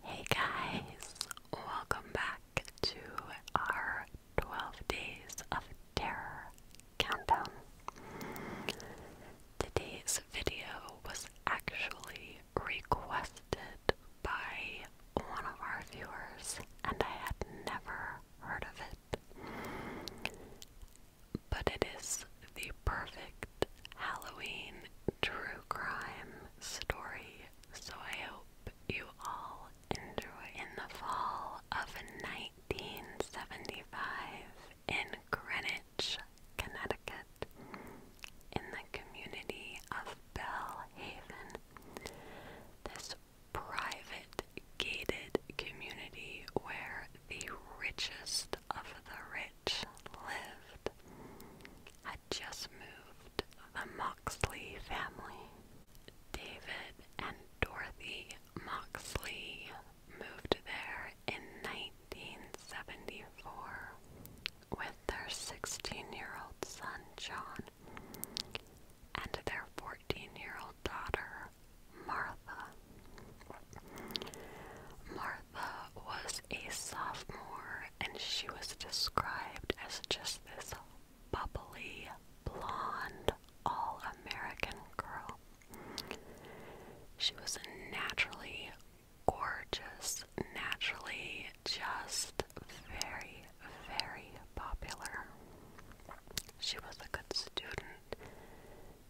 Hey guys, welcome back to our 12 Days of Terror countdown. Today's video was actually requested by one of our viewers, and I had never heard of it. But it is the perfect Halloween true crime story, so I hope you all enjoy. In the fall of 1975, in Greenwich, Connecticut, in the community of Bell Haven, this private gated community where the richest of the rich lived had just moved the Moxley family. David and Dorothy Moxley moved there in 1974 with their 16 year old son John and their 14 year old daughter Martha. Martha was a sophomore and she was described as just this bubbly, blonde, all American girl. She was naturally gorgeous, naturally just very, very popular. She was a good student.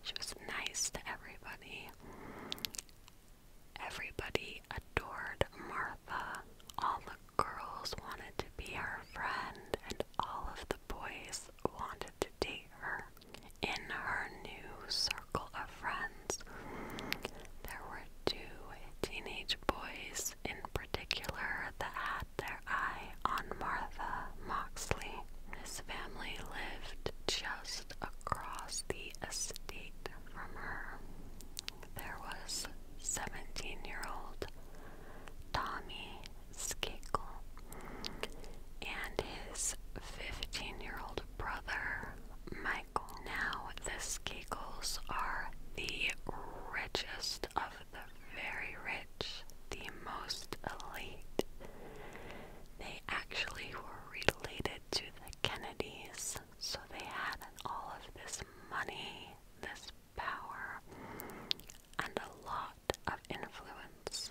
She was nice to everybody. Everybody adored Martha. All the girls wanted to be her friend, and all of the boys wanted to date her. In her new circle of friends, there were two teenage boys in particular that had their eye on Martha Moxley. His family lived just across the estate from her there was 17 year old Tommy Skakel and his 15 year old brother Michael. Now, the Skakels are the richest of the very rich, the most elite. They actually were related to the Kennedys so they had all of this money, this power, and a lot of influence.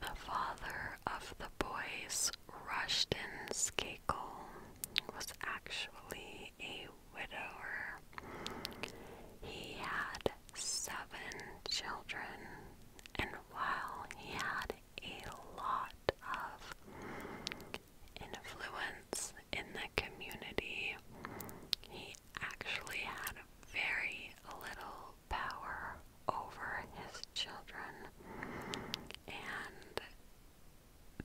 The father of the boys, Rushton Skakel, was actually a widower. He had seven children, and while he had a lot of influence in the community. He actually had very little power over his children, and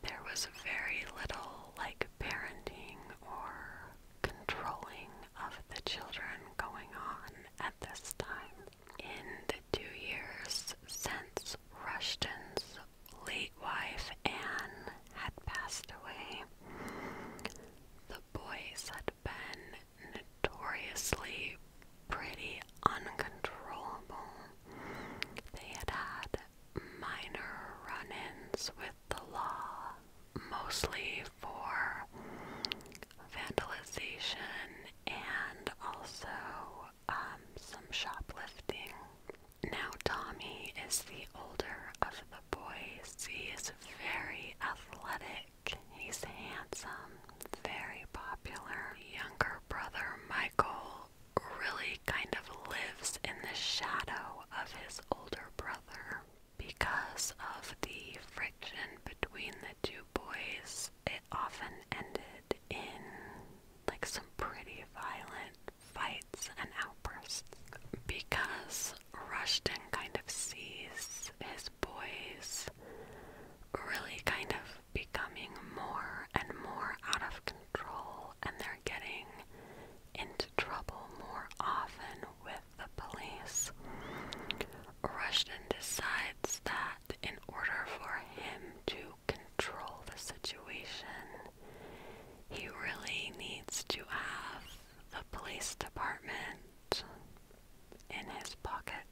there was very little like parenting or controlling of the children going on at this time. In the two years since Rushton's late wife Anne had passed away. The boys had been notoriously pretty uncontrollable. They had had minor run ins with the law, mostly for vandalism, and also um, some shoplifting. Now, Tommy is the older of the boys. He is very athletic, he's handsome, very popular. Younger brother Michael really kind of lives in the shadow of his older brother. Because of the friction between the two boys, it often ended in like some pretty violent fights and outbursts because Rushton kind of sees his boys really kind of becoming more and more out of control and they're getting into trouble more often with the police. Rushton decides that in order for him to control the situation. He really needs to have the police department in his pocket.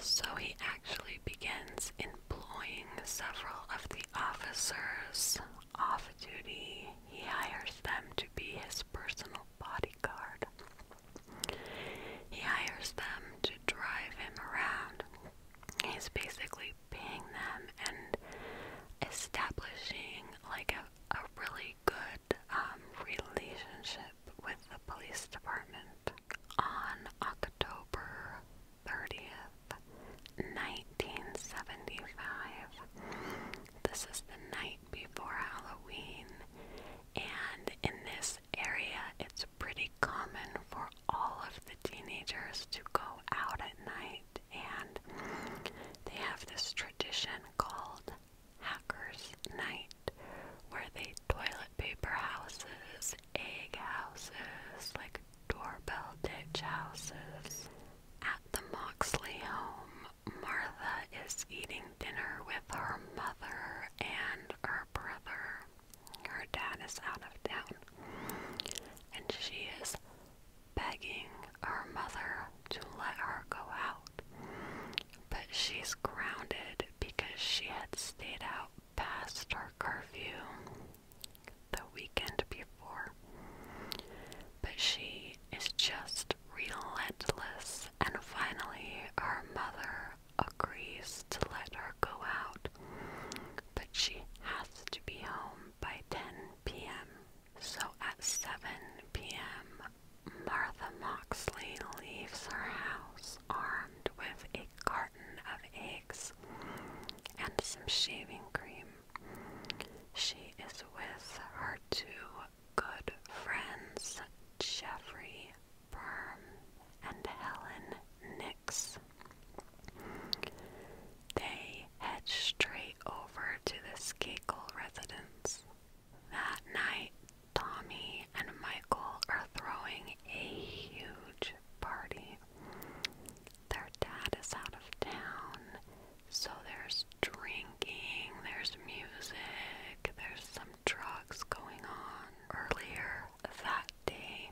So he actually begins employing several of the officers off duty. He hires them to be his personal bodyguard. He hires them to drive him around He's basically paying them and establishing like a, a really good um, relationship with the police department. On October 30th, 1975, this is the night before Halloween, and in this area it's pretty common for all of the teenagers to go out at night, and they have this tradition called Hackers Night, where they toilet paper houses, egg houses, like doorbell ditch houses. At the Moxley home, Martha is eating dinner with her mother and her brother. Her dad is out of town, and she is begging her mother to let her go out. But she's grounded because she had stayed out past her curfew the weekend before. But she is just relentless, and finally, her mother agrees to let her go out but she has to be home by 10 p.m. So at 7 p.m., Martha Moxley leaves her house armed with a carton of eggs and some shaving cream. She is with her two good friends, Jeffrey Perm and Helen Nichols. They head straight over to the Skakel residence. That night, Tommy and Michael are throwing a huge party. Their dad is out of town, so there's drinking, there's music, there's some drugs going on. Earlier that day,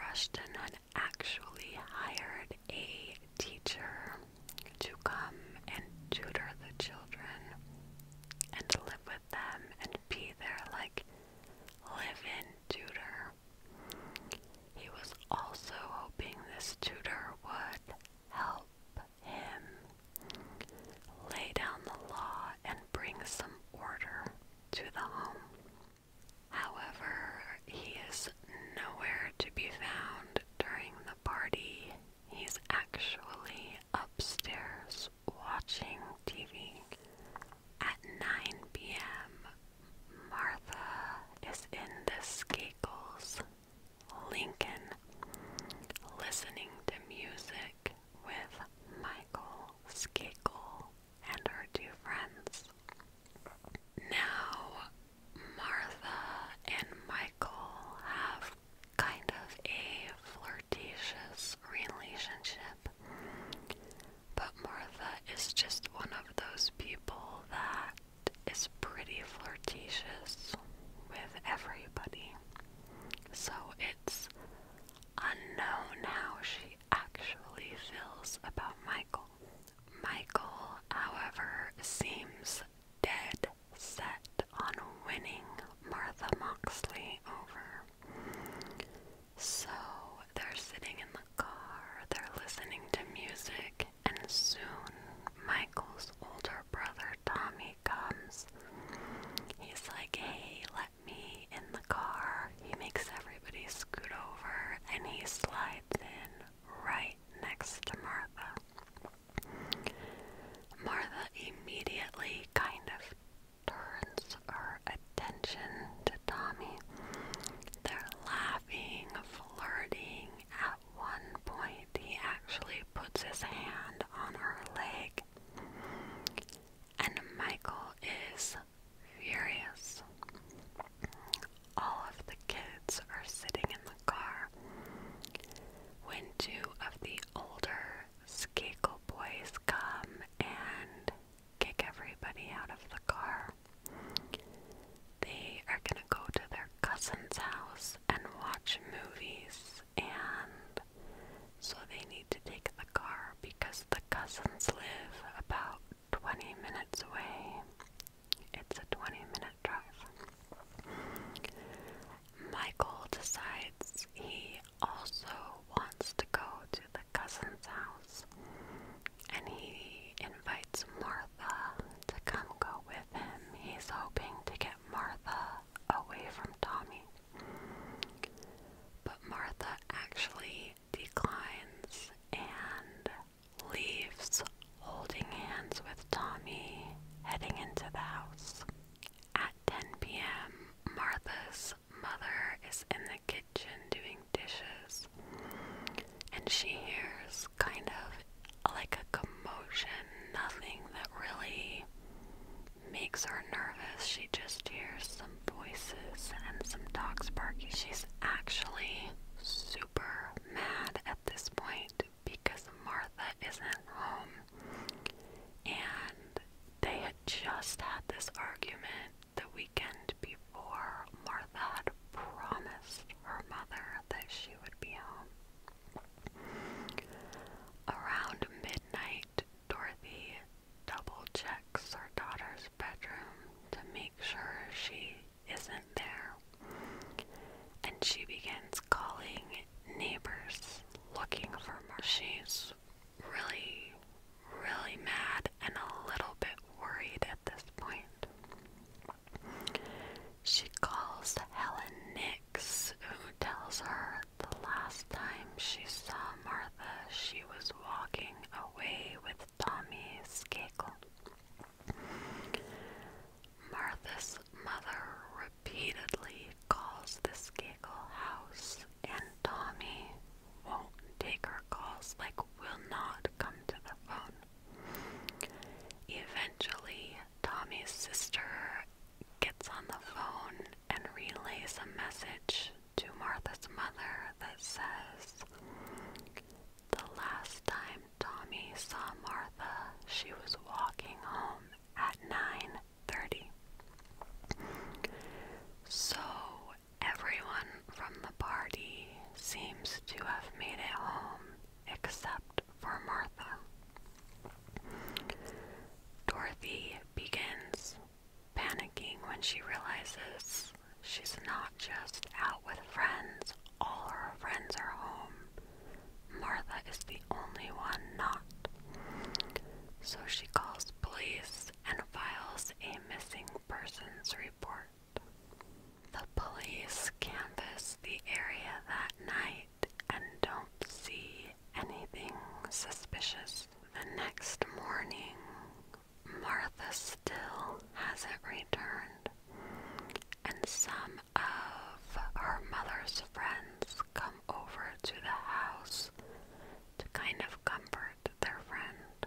Rushton had actually hired a teacher to come and tutor the children and live with them and be their like live in tutor. He was also hoping this tutor would help him lay down the law and bring some order to the home. However, he is nowhere to be found during the party. He's actually upstairs watching TV. At 9 p.m., Martha is in the Skagels, Lincoln, listening to music with Michael Skagel and her two friends. Now, Martha and Michael have kind of a flirtatious relationship, but Martha is just one of those people that is pretty flirtatious with everybody. So it's unknown how she actually feels about Michael. Michael, however, seems dead set on winning Martha Moxley over. So they're sitting in the car, they're listening to music, and soon Michael's older brother Tommy comes. He's like, hey, let me in the car. He makes everybody scoot over and he slides in right next to Martha. Martha immediately kind of turns her attention to Tommy. They're laughing, flirting. At one point, he actually puts his hand on her leg. And Michael is furious. All of the kids are sitting in the car when two of the older Skakel boys come and kick everybody out of the car. They are gonna go to their cousin's house and watch movies, and so they need to take the car because the cousins live about 20 minutes away. It's a 20 minute drive. Michael decides he also wants to go to the cousin's house and he invites Martha to come go with him. He's hoping to get Martha away from Tommy. But Martha actually declines and leaves, holding hands with Tommy, heading into the house. At 10 p.m., Martha's mother is in the kitchen doing dishes, and she hears kind of like a commotion, nothing that really makes her nervous. She just hears some voices and some dogs barking. She's actually super mad at this point because Martha isn't home. And they had just had this argument the weekend before. Martha had promised her mother that she would be home. Around midnight, Dorothy double checks her daughter's bedroom to make sure she isn't there. And she begins calling neighbors looking for Mark. She's really, really mad and a little bit worried at this point. She calls Helen Nix, who tells her the last time she saw Martha, she was walking away with Tommy's giggle. Martha's mother repeatedly calls this giggle house, and Tommy won't take her calls, like, will not come to the phone. Eventually, Tommy's sister gets on the phone and relays a message to Martha's mother that says, The last time Tommy saw Martha, she was walking home at 9.30. So everyone from the party seems to have made it home except for Martha. Dorothy begins panicking when she realizes she's not just out with friends, all her friends are home. Martha is the only one not. So she calls police and files a missing persons report. The police canvass the area that night and don't see anything suspicious. The next morning, Martha still hasn't returned, and some of her mother's friends come over to the house to kind of comfort their friend.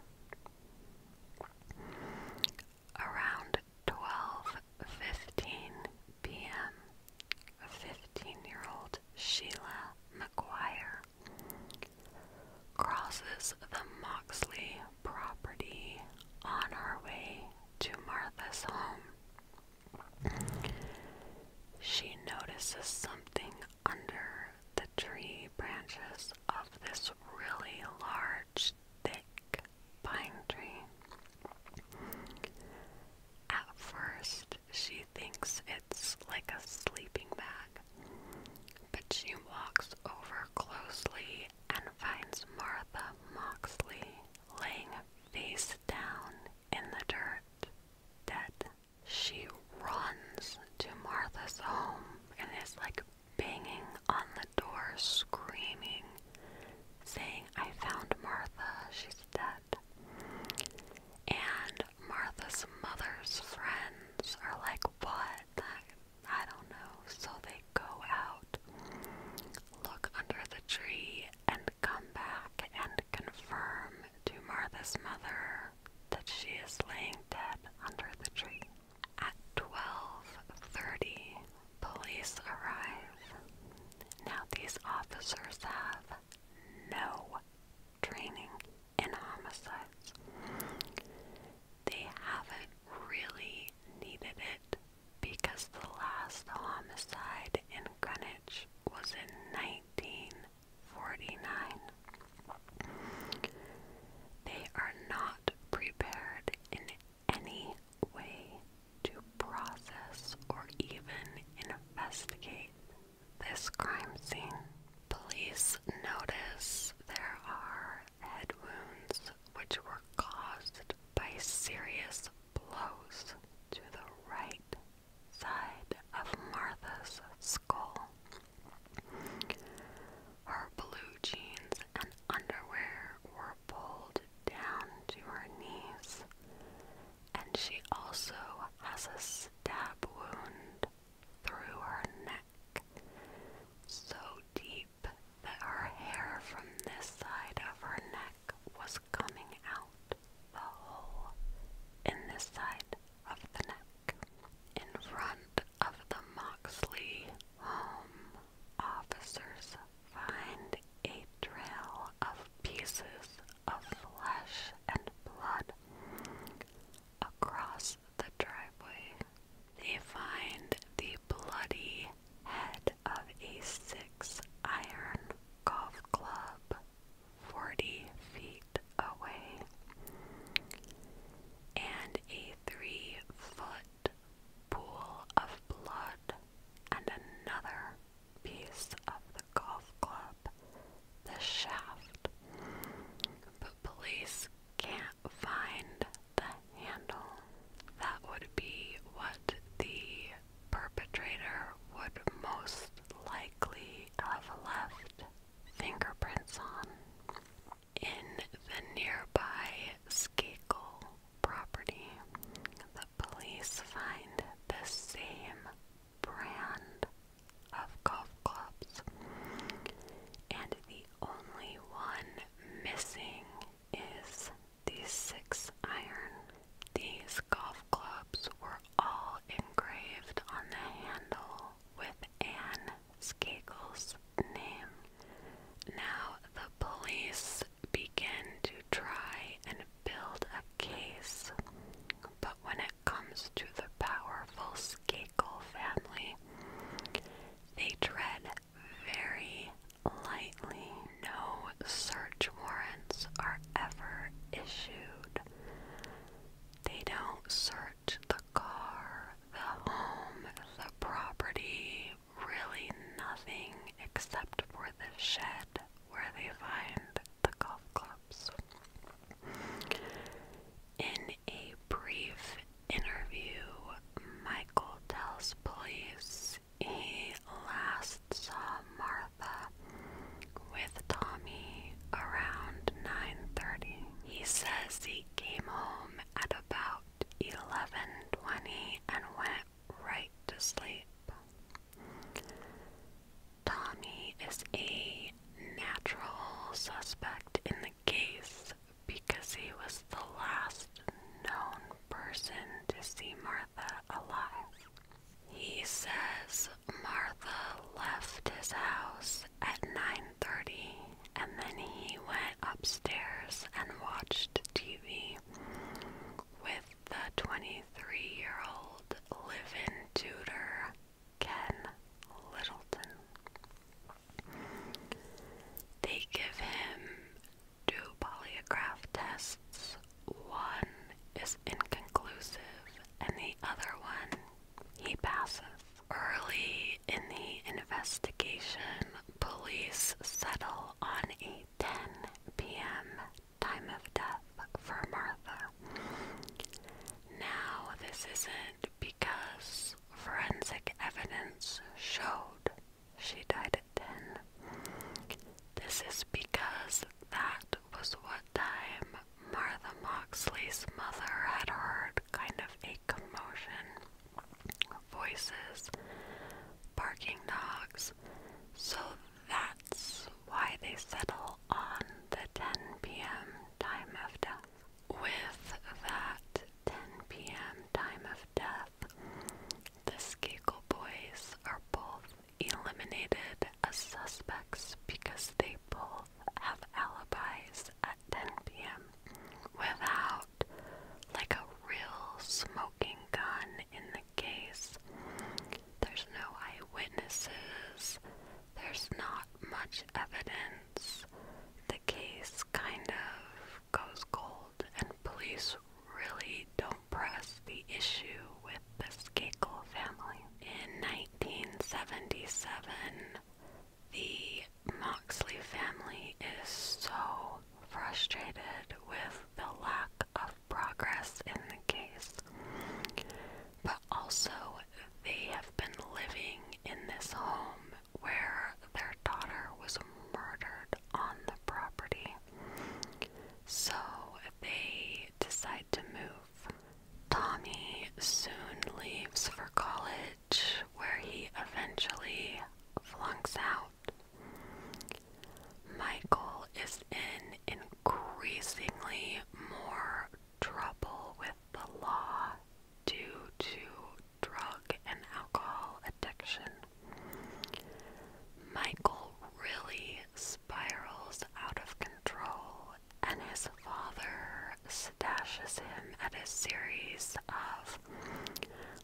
Around 12:15 p.m., 15-year-old Sheila McGuire crosses the Moxley property on her way to Martha's home. She notices something under the tree branches of this really large, thick pine tree. At first, she thinks it's like a sleeping bag, but she walks over closely and finds Martha Moxley laying face down in the dirt, dead. She runs to Martha's home and is like banging on the door, screaming, saying, I found Martha, she's dead. And Martha's mother's friends are like, What? I don't know. So they go out, look under the tree, and come back and confirm to Martha's mother that she is laying dead under the tree. At 12:30, police arrive. Now these officers have no training and homicides. They haven't really needed it because the last homicide in Greenwich was in 1949. They are not prepared in any way to process or even investigate this crime scene. Police notice there are head wounds which were caused by serious blows to the right side of Martha's skull. Her blue jeans and underwear were pulled down to her knees, and she also has a stab wound through her neck, so deep that her hair from this side of her neck was coming out the hole in this side of the neck. In front of the Moxley home, officers find a trail of pieces of flesh and blood across the driveway they find the bloody head of a six iron golf club 40 feet away and a three foot pool of blood and another piece of the golf club, the shaft. But police can't find the handle. That would be what the perpetrator would most likely have left fingerprints on in the nearby Skakel property. The police find the same brand of golf clubs and the only one missing is the six iron. These golf clubs were all engraved on the handle with Anne Skagel's name. Now the police begin to try and build a case, but when it comes to the powerful scale family, they tread very lightly. No search warrants are ever issued. They don't search the car, the home, the property, really nothing except for the shed where they find the golf clubs. In a brief interview, Michael tells police he last saw Martha with Tommy around 9:30. He says he came home at about 11:20 and went right to sleep. Tommy is a natural suspect in the case because he was the last known person to see Martha alive. He says Martha left his house at 9:30 and then he went upstairs and watched TV with the 23-year-old living tutor Ken Littleton. They give him two polygraph tests. One is inconclusive, and the other one he passes. Early in the investigation, police settle on a 10 p.m. time of death for Martha. Now, this isn't because forensic evidence showed she died at 10. This is because that was what time Martha Moxley's mother had heard kind of a commotion. Voices, barking dogs. So that's why they settle on the 10 p.m. time after with that 10 p.m. time of death, the Skagel boys are both eliminated as suspects because they both have alibis at 10 p.m. without like a real smoking gun in the case. There's no eyewitnesses. There's not much evidence the case kind of goes cold, and police really don't press the issue with the Skakel family. In 1977, the Moxley family is so frustrated with the lack of progress in the case, but also they have been living in this home where their daughter was murdered on the property. So they decide to move. Tommy soon leaves for college, where he eventually flunks out. Michael is in increasingly more trouble with the law due to drug and alcohol addiction. Michael really spirals out of control, and his father stashes him at a series of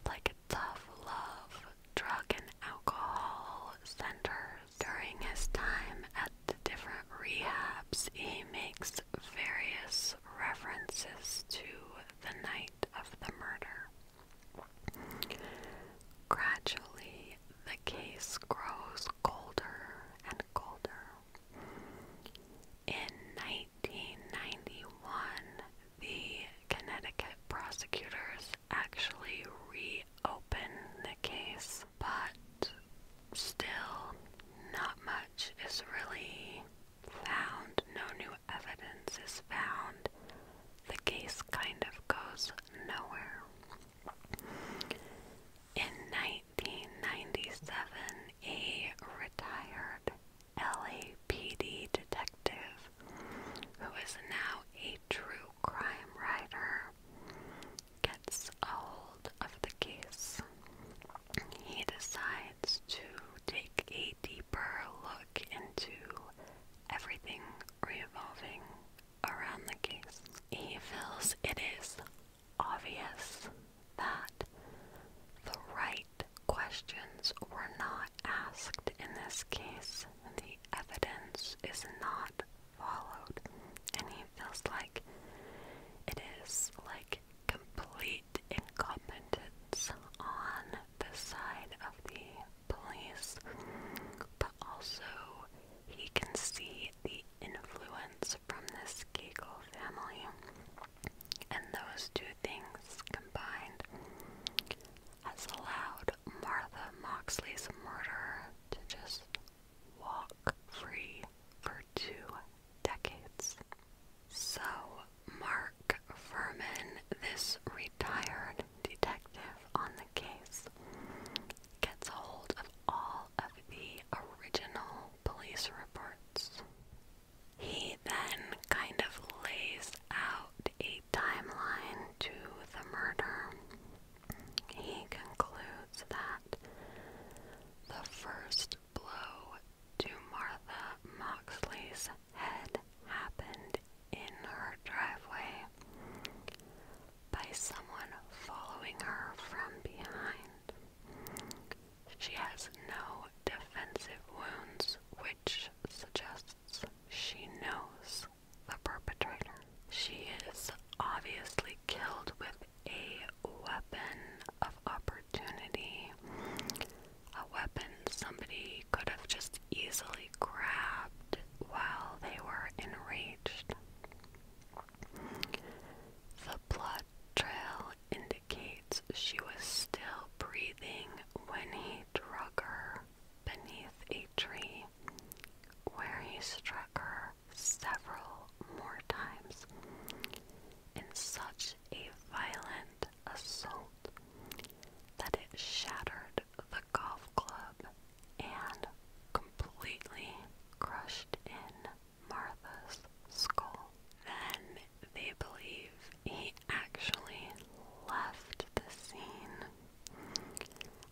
like tough love, drug, and alcohol centers. During his time at the different rehabs, he makes various references to the night of the murder. Gradually, the case grows colder and colder. In 1991, the Connecticut prosecutors actually reopened the case, but still, not much is really found, no new evidence is found, the case kind of goes nowhere. In 1997, a retired LAPD detective who is now a true crime writer gets hold of the case. He decides to take a deeper look into everything revolving around the case. He feels it is obvious that the right questions were not asked in this case. The evidence is not followed, and he feels like it is like complete incompetence on the side of the police, but also he can see the influence from this Kegel family. And those two things combined has allowed Martha Moxley's murder to just walk free for two decades. So, Mark Furman, this retired detective on the case, gets hold of all of the original police reports. He then kind of lays out a timeline to the murder. He concludes that the first blow to Martha Moxley's head happened in her driveway by someone following her from behind. She has no defensive wounds, which suggests she knows the perpetrator. She is obviously killed with a weapon of opportunity a weapon somebody could have just easily grabbed while they were enraged. The blood trail indicates she was still breathing when he drug her beneath a tree, where he struck her several more times in such a violent assault that it shattered the golf club and completely crushed in Martha's skull. Then they believe he actually left the scene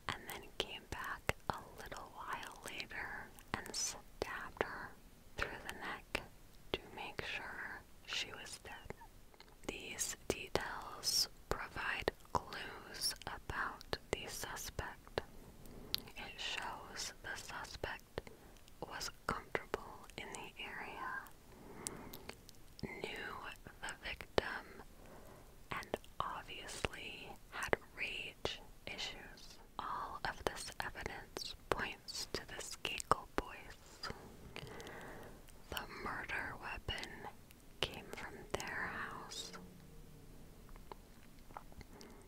and then came back a little while later and stabbed her through the neck to make sure she was dead. These details provide clues about the suspect. It shows the suspect was comfortable in the area, knew the victim, and obviously had rage issues. All of this evidence points to the Skakel boys. The murder weapon came from their house.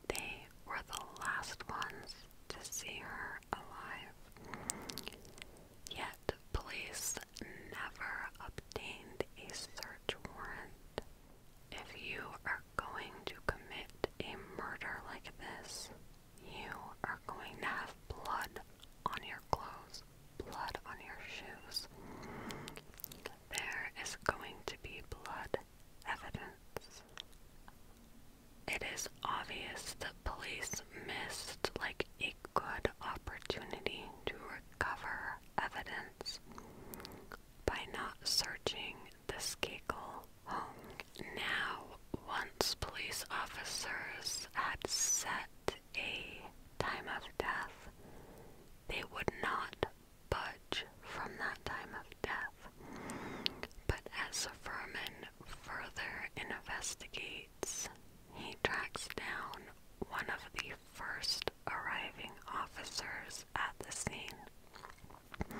They were the last ones to see her alive. Yet, police never obtained a search warrant. If you are going to commit a murder like this, you are going to have blood on your clothes, blood on your shoes. There is going to be blood evidence. It is obvious that police missed like a good opportunity to recover evidence by not searching the scacle now, once police officers had set a time of death, they would not budge from that time of death. But as Furman further investigates, he tracks down one of the first arriving officers at the scene.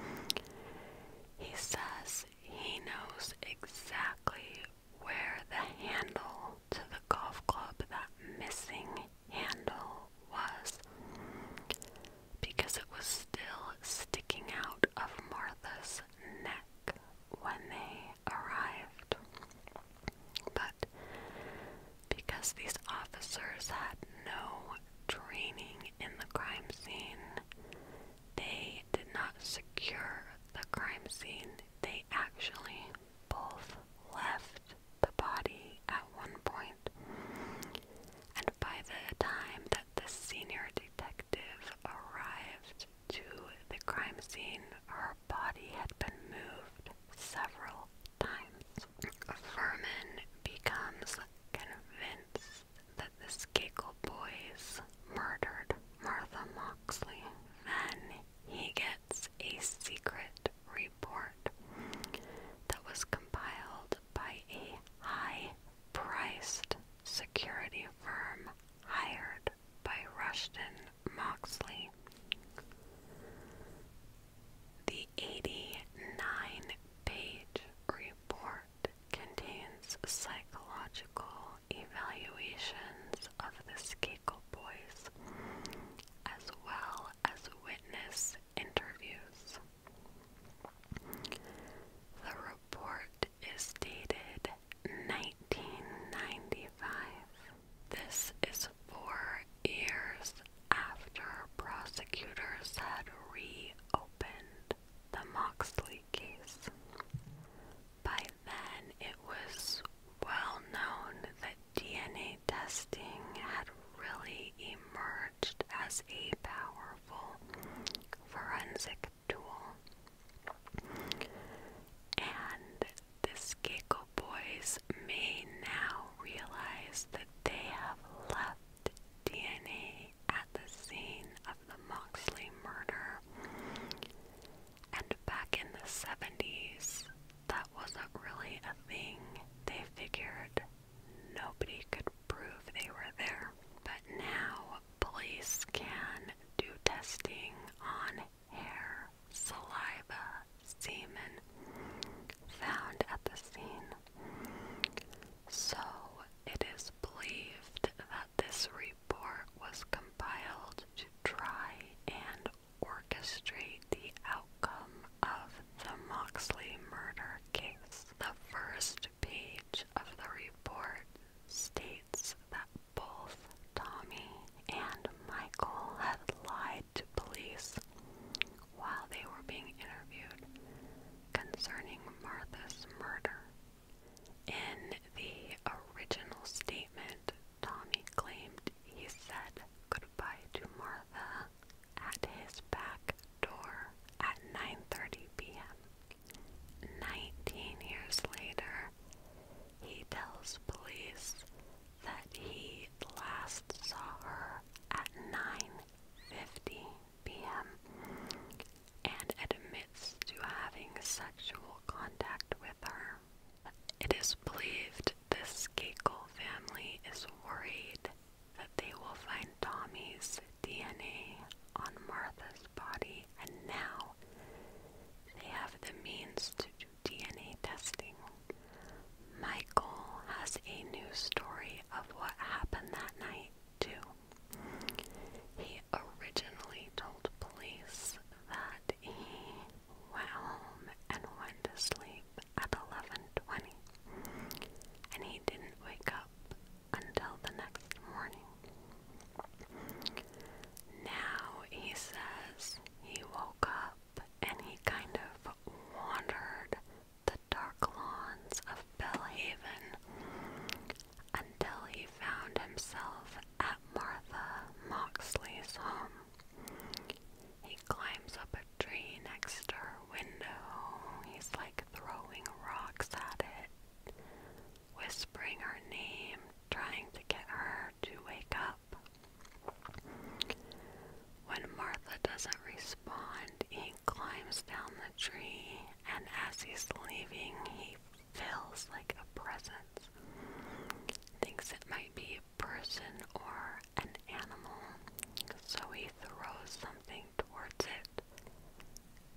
He says he knows exactly where the handle to the golf club, that missing handle, was because it was still sticking out of Martha's neck when they arrived. But because these officers had no training in the crime scene, they did not secure the crime scene. They actually both left the body at one point. And by the time that the senior detective arrived to the crime scene, her body had been moved several times. Furman becomes convinced that this Skakel boys murdered Martha Moxley. Then he gets a secret report that was compiled by a high priced security firm hired by Rushton Moxley. The 89 page report contains psychological evaluations of the Skakel boys, as well as witness interviews. The report is dated 1995. This is four years after prosecutors had reopened the Moxley case. By then, it was well known that DNA testing had really emerged as a powerful forensic tool. And the Skeko boys may now realize that they have left DNA at the scene of the Moxley murder and back in the 70s, that wasn't really a thing. They figured nobody could prove they were there. But now, police can do testing on hair, saliva, semen found at the scene. So, it is believed this report was compiled to try and orchestrate the outcome of the Moxley murder case. The first page of the report states that both Tommy and Michael had lied to police while they were being interviewed concerning Martha's murder. In the original statement, Tommy claimed he said goodbye to Martha at his back door at 9:30 p.m. 19 years later, he tells police that he last saw her at 9:50 p.m and admits to having sexual contact with her. It is believed the Skakel family is worried that they will find Tommy's DNA on Martha's body, and now they have the means to do DNA testing. Michael has a new story of what happened that night, too. He originally told police that he went home and went to sleep at 11:20 and he didn't wake up until the next morning. Now he says he woke up and he kind of wandered the dark lawns of Belhaven until he found himself at Martha Moxley's home. He climbs up a tree next to her window. He's like throwing rocks at it, whispering her name, trying to get her to wake up. When Martha doesn't respond, he climbs down the tree, and as he's leaving, he feels like a presence. Thinks it might be a person or an animal, so he throws something towards it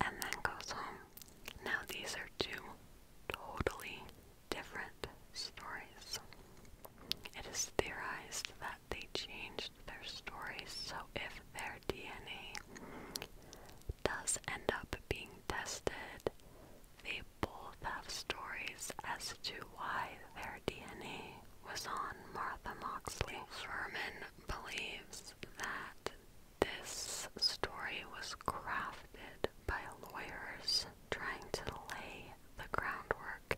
and then goes home. Now, these are two totally different stories. It is theorized that they changed their stories so if their DNA does end up being tested, they both have stories as to why their DNA was on Martha Moxley. Furman believes that this story was crafted by lawyers trying to lay the groundwork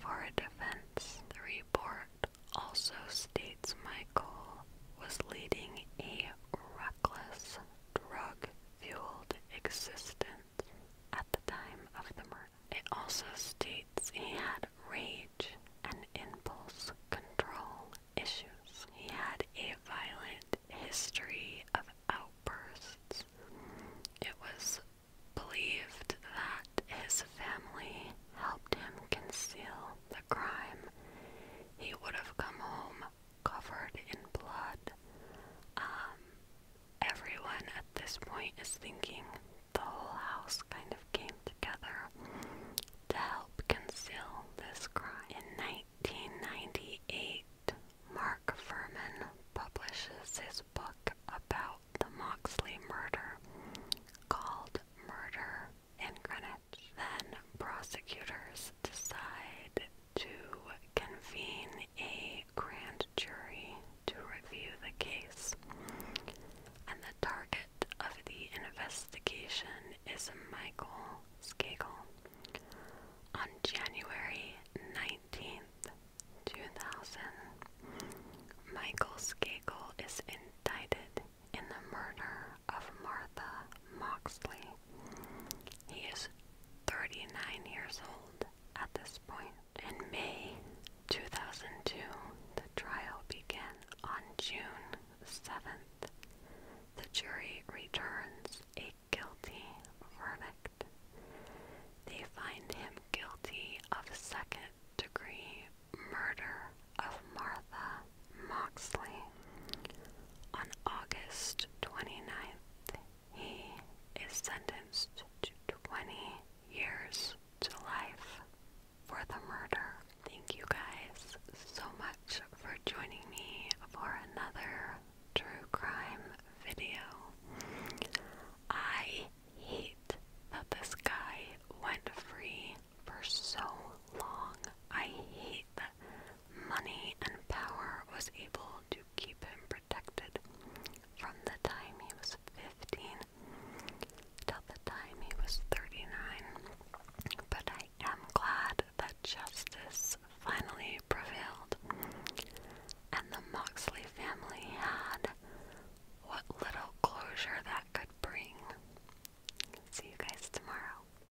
for a defense. The report also states Michael was leading a reckless, drug fueled existence at the time of the murder. It also states he had rage and impulse control issues. He had a violent history of outbursts. It was believed that his family helped him conceal the crime. He would have come home covered in blood. Um, everyone at this point is thinking the whole house kind of came together to help conceal this crime. In 1998, Mark Furman publishes his book about the Moxley murder called Murder in Greenwich. Then prosecutors decide to convene a grand jury to review the case. And the target of the investigation is Michael Skagel. On January 19th, 2000, Michael Skagel is indicted in the murder of Martha Moxley. He is 39 years old at this point. In May 2002, the trial began. On June 7th, the jury returns a guilty verdict. They find him guilty of second degree murder of Martha Moxley. On August 29th, he is sentenced to 20 years to life for the murder. Thank you guys so much for joining me for another true crime video. I hate that this guy went free for so long. I hate that money and power was able to keep him protected from the time he was 15 till the time he was 39. But I am glad that justice finally prevailed, and the Moxley family had what little closure that could bring. See you guys tomorrow.